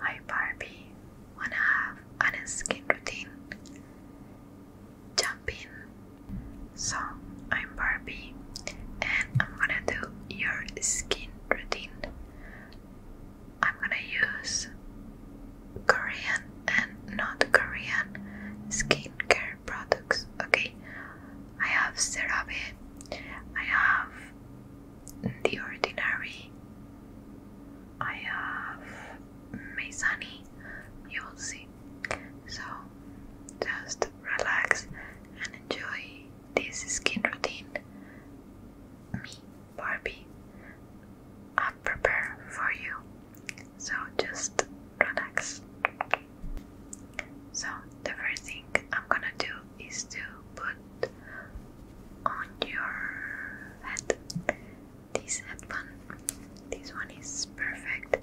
Hi Barbie, wanna have an skin routine? Jump in! So, I'm Barbie and I'm gonna do your skin routine. I'm gonna use Korean and not Korean skincare products, okay? I have CeraVe, I have the ordinary. I have Meizani, you will see. So just relax and enjoy this skin routine. Me, Barbie, I prepare for you. So just relax. So the first thing I'm gonna do is to put on your head this headband. This one is perfect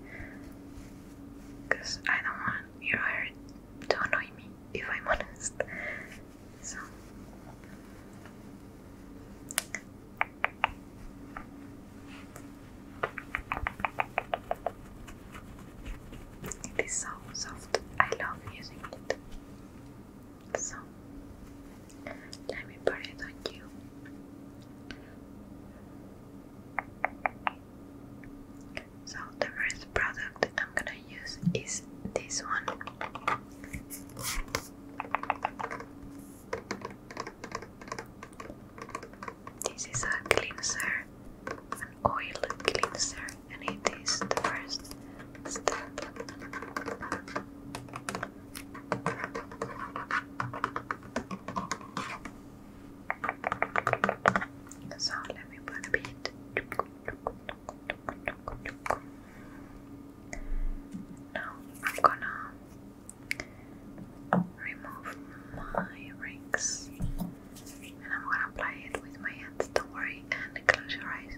because I don't want your hair to annoy me if I'm honest. So it is so soft. I love using it. So let me put it on you. So the first product I'm gonna use is this one. This is a cleanser, an oil cleanser and it is the first step. So let me put a bit. Now I'm gonna remove my rings and I'm gonna apply it with my hands. Don't worry and close your eyes.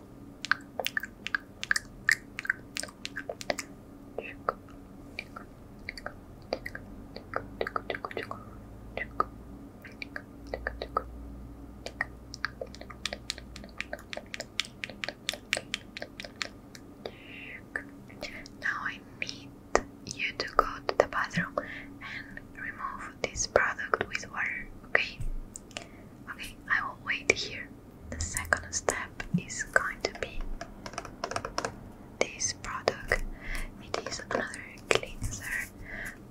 Now I need you to go to the bathroom and remove this product with water, okay? Okay, I will wait here. The second step is going to be this product. It is another cleanser,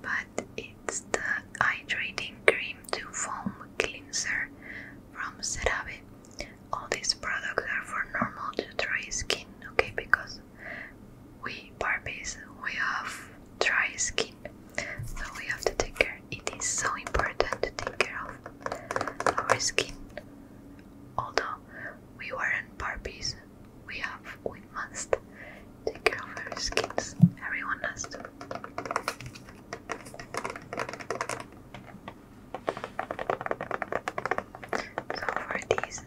but it's the hydrating cream to foam cleanser from CeraVe. All these products are for normal to dry skin, okay? Because we Barbies, we have dry skin so we have to take care. It is so important to take care of our skin. Although we weren't Barbies, we have we must take care of our skins. Everyone has to. So for these,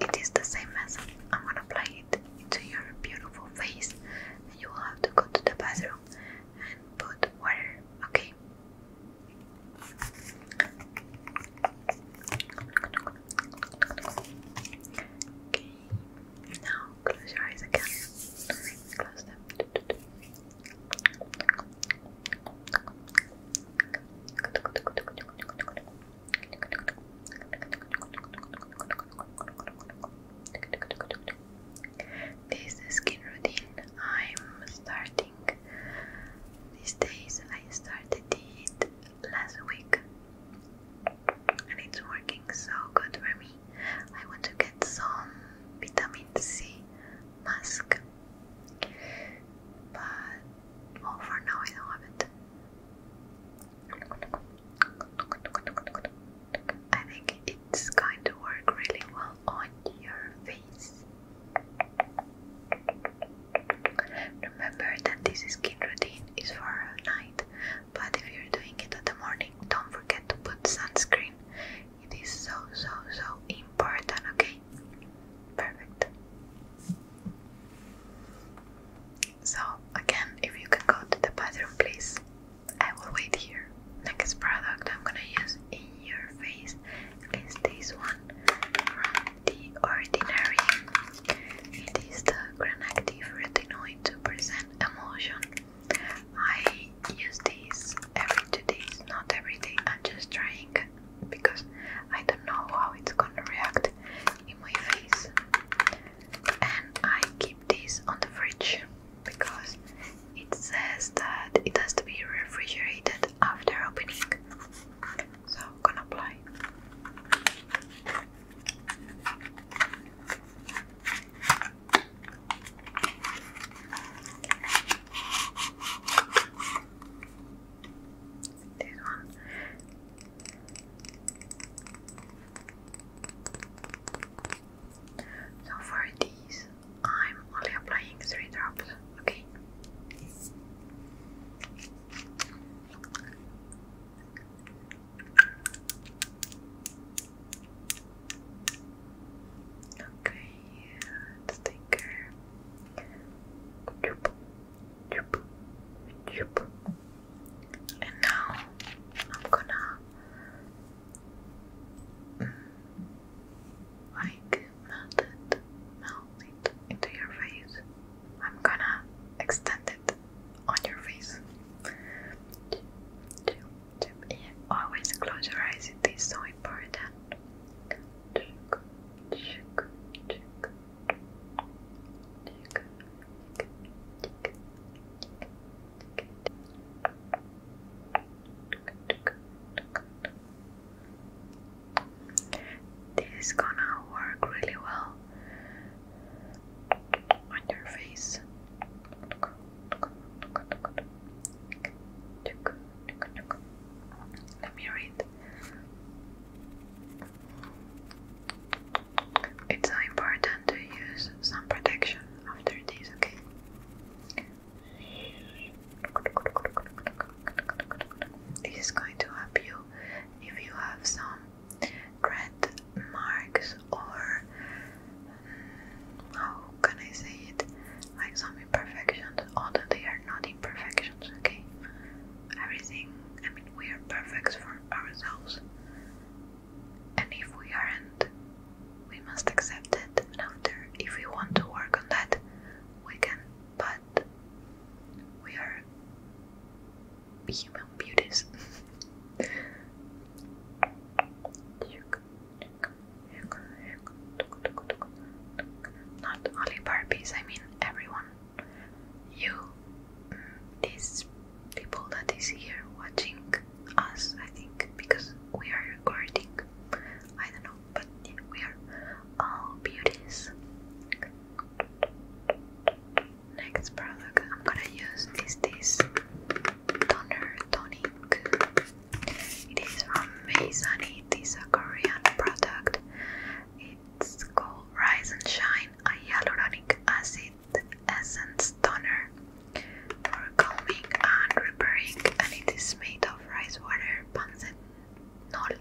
it is the same method. I'm to apply it into your beautiful face and you will have to go to the bathroom and put water, okay? now close your eyes again. Close them. This skin routine I'm starting these days. I started it last week and it's working so good for me. I want to get some vitamin C mask, but for now I don't have it. I think it's going to work really well on your face. Remember that this skin routine is for night, but if you're doing it at the morning, don't forget to put sunscreen. It is so, so, so important, okay? Perfect. So, again, if you can go to the bathroom, please. I will wait here. Next product I'm gonna use in your face is this one from The Ordinary. It is the Granactive Retinoid 2% Emulsion. I use this every two days, not every day. I'm just trying because I don't know how it's gonna react in my face. And I keep this on the fridge because it says that it has to be refrigerated after opening. So I'm gonna apply. This one. So for these, I'm only applying three drops, okay? Okay, take care. Chup, chup, chup, and now I'm gonna mm, like melt it, melt it into your face. I'm gonna extend it on your face. always close your eyes, it is so important. This is gonna work really well on your face. Let me read. It's important to use some protection after this, okay? This is going to help you if you have some red marks or mm, how can I say it? Like some imperfections, although they are not imperfections, okay? Everything, I mean, we are perfect for ourselves. And if we aren't, we must accept it. And after, if we want to work on that, we can. But we are human beauties. Not only Barbies, I mean everyone you, mm, these people that is here watching us, I think, because we are recording. I don't know, but we are all beauties. Next product I'm gonna use is this toner tonic. It is from Meizani. It is a Korean product. It's called Rise and Shine, a hyaluronic acid essence toner for calming and repairing, and it is made of rice water, pansenol,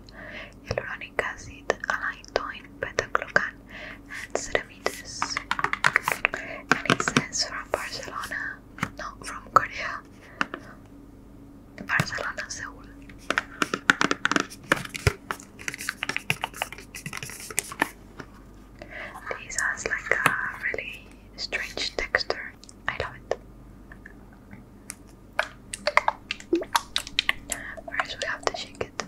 hyaluronic acid, allantoin, beta and ceramides. And it says from Barcelona, no, from Korea, Barcelona, Seoul. This has like a really strange texture. I love it. First, we have to shake it.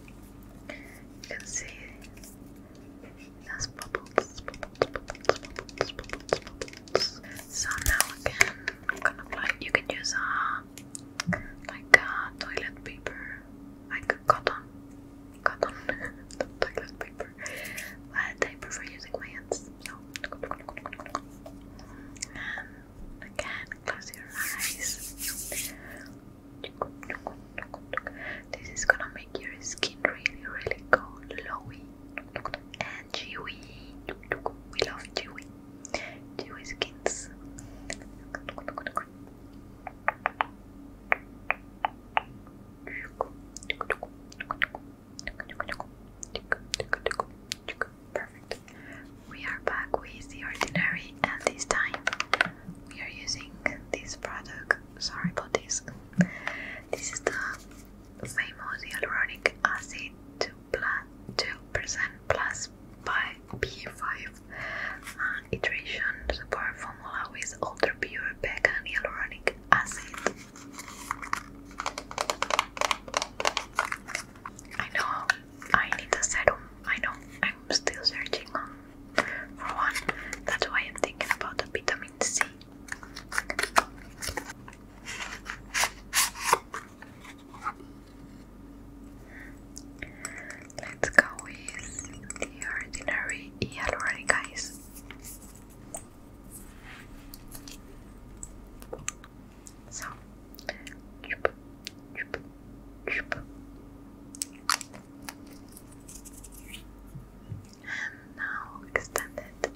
You can see Yes, So now again, I'm gonna apply. You can use a uh, like a uh, toilet paper, like cotton, cotton toilet paper. But I prefer using my hands. and again, close your eyes. This is gonna make your skin really, really cold, glowy, and dewy. We love dewy, dewy skins. Perfect. We are back with the ordinary, and this time we are using this product sorry about this. This is the famous hyaluronic acid 2% plus by B5 and iteration support formula with ultra pure vegan hyaluronic acid. I know I need a serum. I know I'm still searching for one, that's why I'm thinking about the vitamin C. Let's go with the ordinary hyaluronic ice. So, chup, chup, chup and now extend it.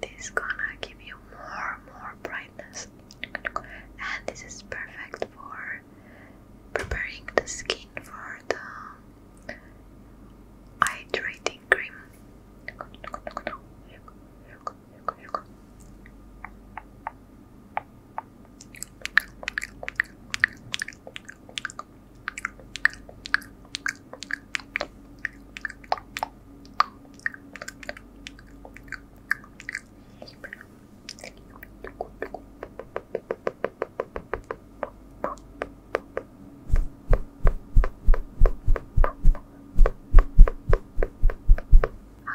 This is gonna give you more, more brightness, and this is perfect for preparing the skin for the hydrating cream.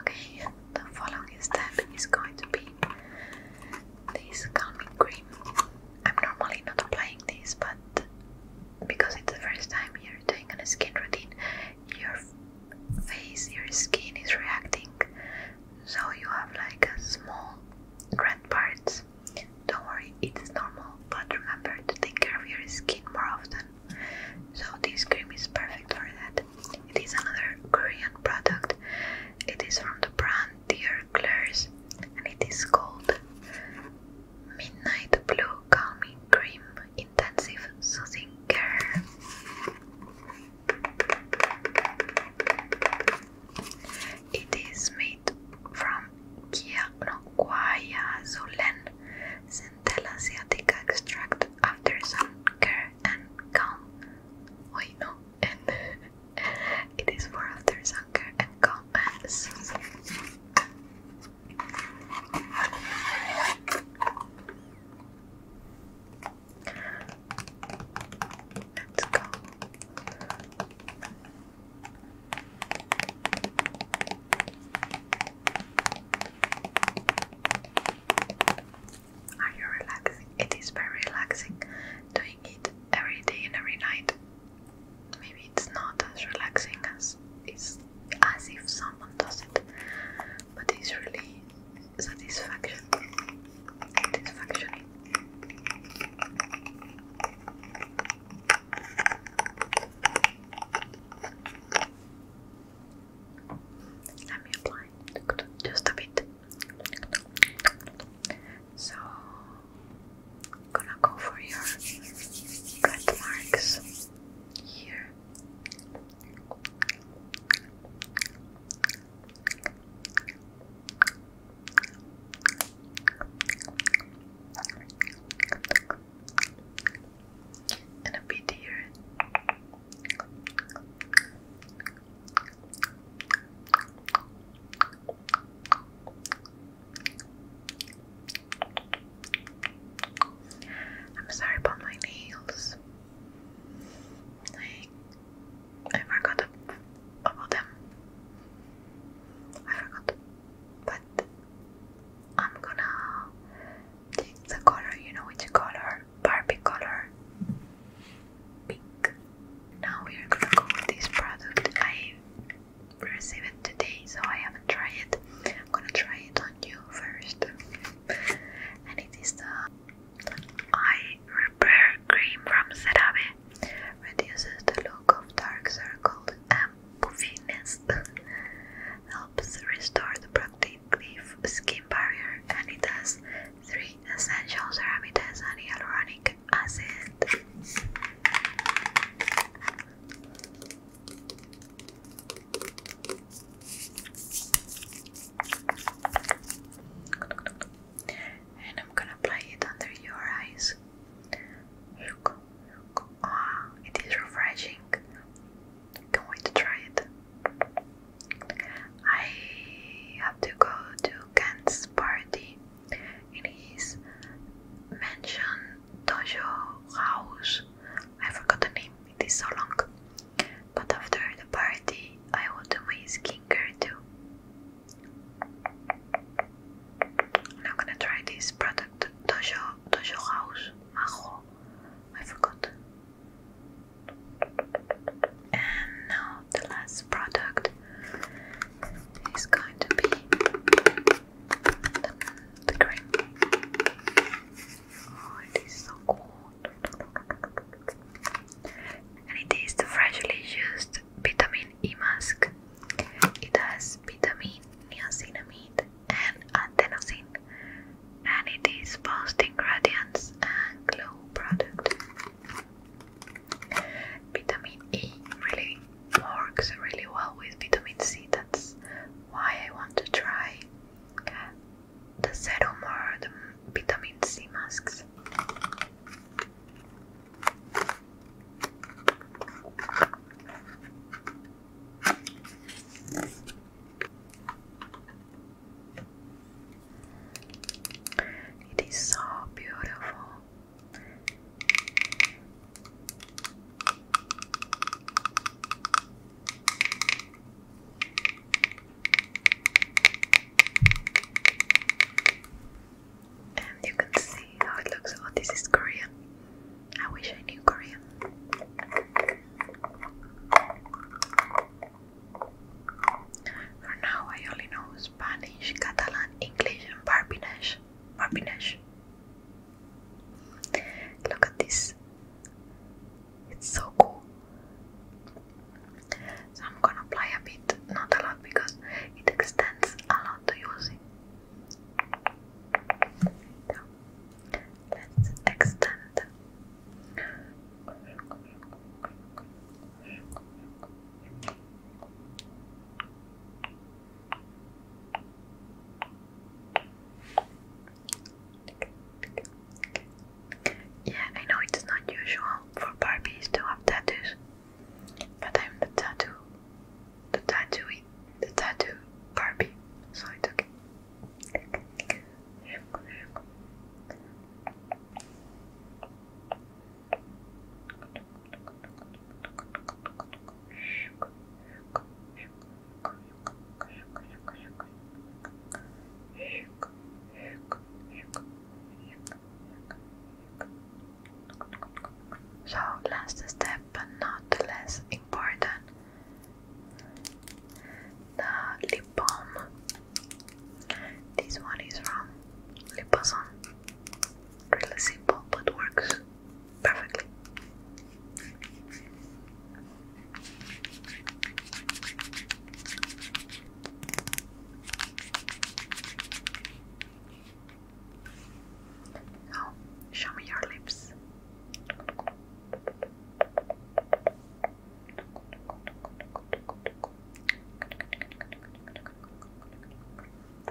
Okay, the following step is going to be this calming cream. I'm normally not applying this, but because it's the first time you're doing a skin routine, your face, your skin is reacting, so you have like small red parts. Don't worry, it's normal, but remember to take care of your skin more often. So, this cream is perfect for that. It is another Korean product. It is from the brand Dear Claire's and it is called Midnight Blue Calming Cream Intensive Soothing Care. It is made from Kia no, Guayazulen Centella Asiatica extract after sun care and calm. Wait, and it is for after anger and comments. Let's go. Are you relaxing? It is very relaxing doing it every day and every night. Maybe it's not as relaxing as it's as if someone does it, but it's really satisfaction. Satisfaction. Let me apply just a bit. So, gonna go for your cut marks here. And a bit here. I'm sorry about my nails. Like, I forgot about them. I forgot. But I'm gonna take the color, you know which color Barbie color, pink. Now we are gonna go with this product. I received it today, so I haven't tried it. I'm gonna try it on you first. And it is the eye repair cream from CeraVe. Reduces the look of dark circles and puffiness. Helps restore the productive cliff skin barrier and it has three essential ceramides and hyaluronic acid. And I'm gonna apply it under your eyes. look. Ah, it is refreshing. Can't wait to try it. I have to go to Kent's party in his mansion dojo house. I forgot the name, it is so long. But after the party, I will do my skincare too. I'm gonna try this product, Dojo, Dojo House Majo. I forgot. And now the last product is going to be the, the cream. Oh, it is so cool. And it is the freshly used vitamin E mask. It has vitamin, niacinamide, and adenosine. Vanity's Post Ingredients and Glow Product. Vitamin E really works really well with vitamin C, that's why I want to try the serum or vitamin C masks. It is so beautiful. And you can see how it looks. Oh, this is Korean. I wish I knew Korean. For now, I only know Spanish, Catalan, English, and Barbinesh. Barbinesh. Look at this. It's so cool. I'm gonna apply a bit, not a lot, because it extends a lot to use it. let's extend yeah, I know it's not usual for Barbies to have tattoos, but I'm the tattoo, the tattoo, the tattoo Barbie, so it's okay. So, last step, but not less important, the lip balm. This one is from Liposon. Really simple, but works perfectly. show me your lips.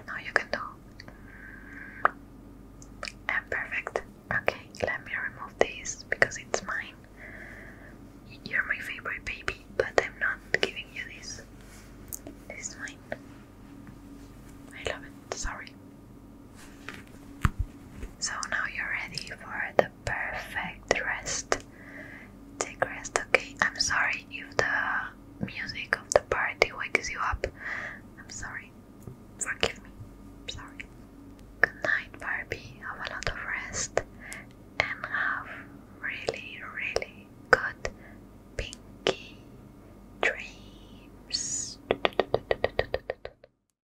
No, you can do. I'm perfect. Okay, let me remove this because it's mine. You're my favorite baby, but I'm not giving you this. This is mine. I love it. Sorry. So now you're ready for the perfect rest. Take rest, okay? I'm sorry if the music of the party wakes you up. I'm sorry. Forgive me. I'm sorry. Good night, Barbie. Have a lot of rest and have really, really good pinky dreams.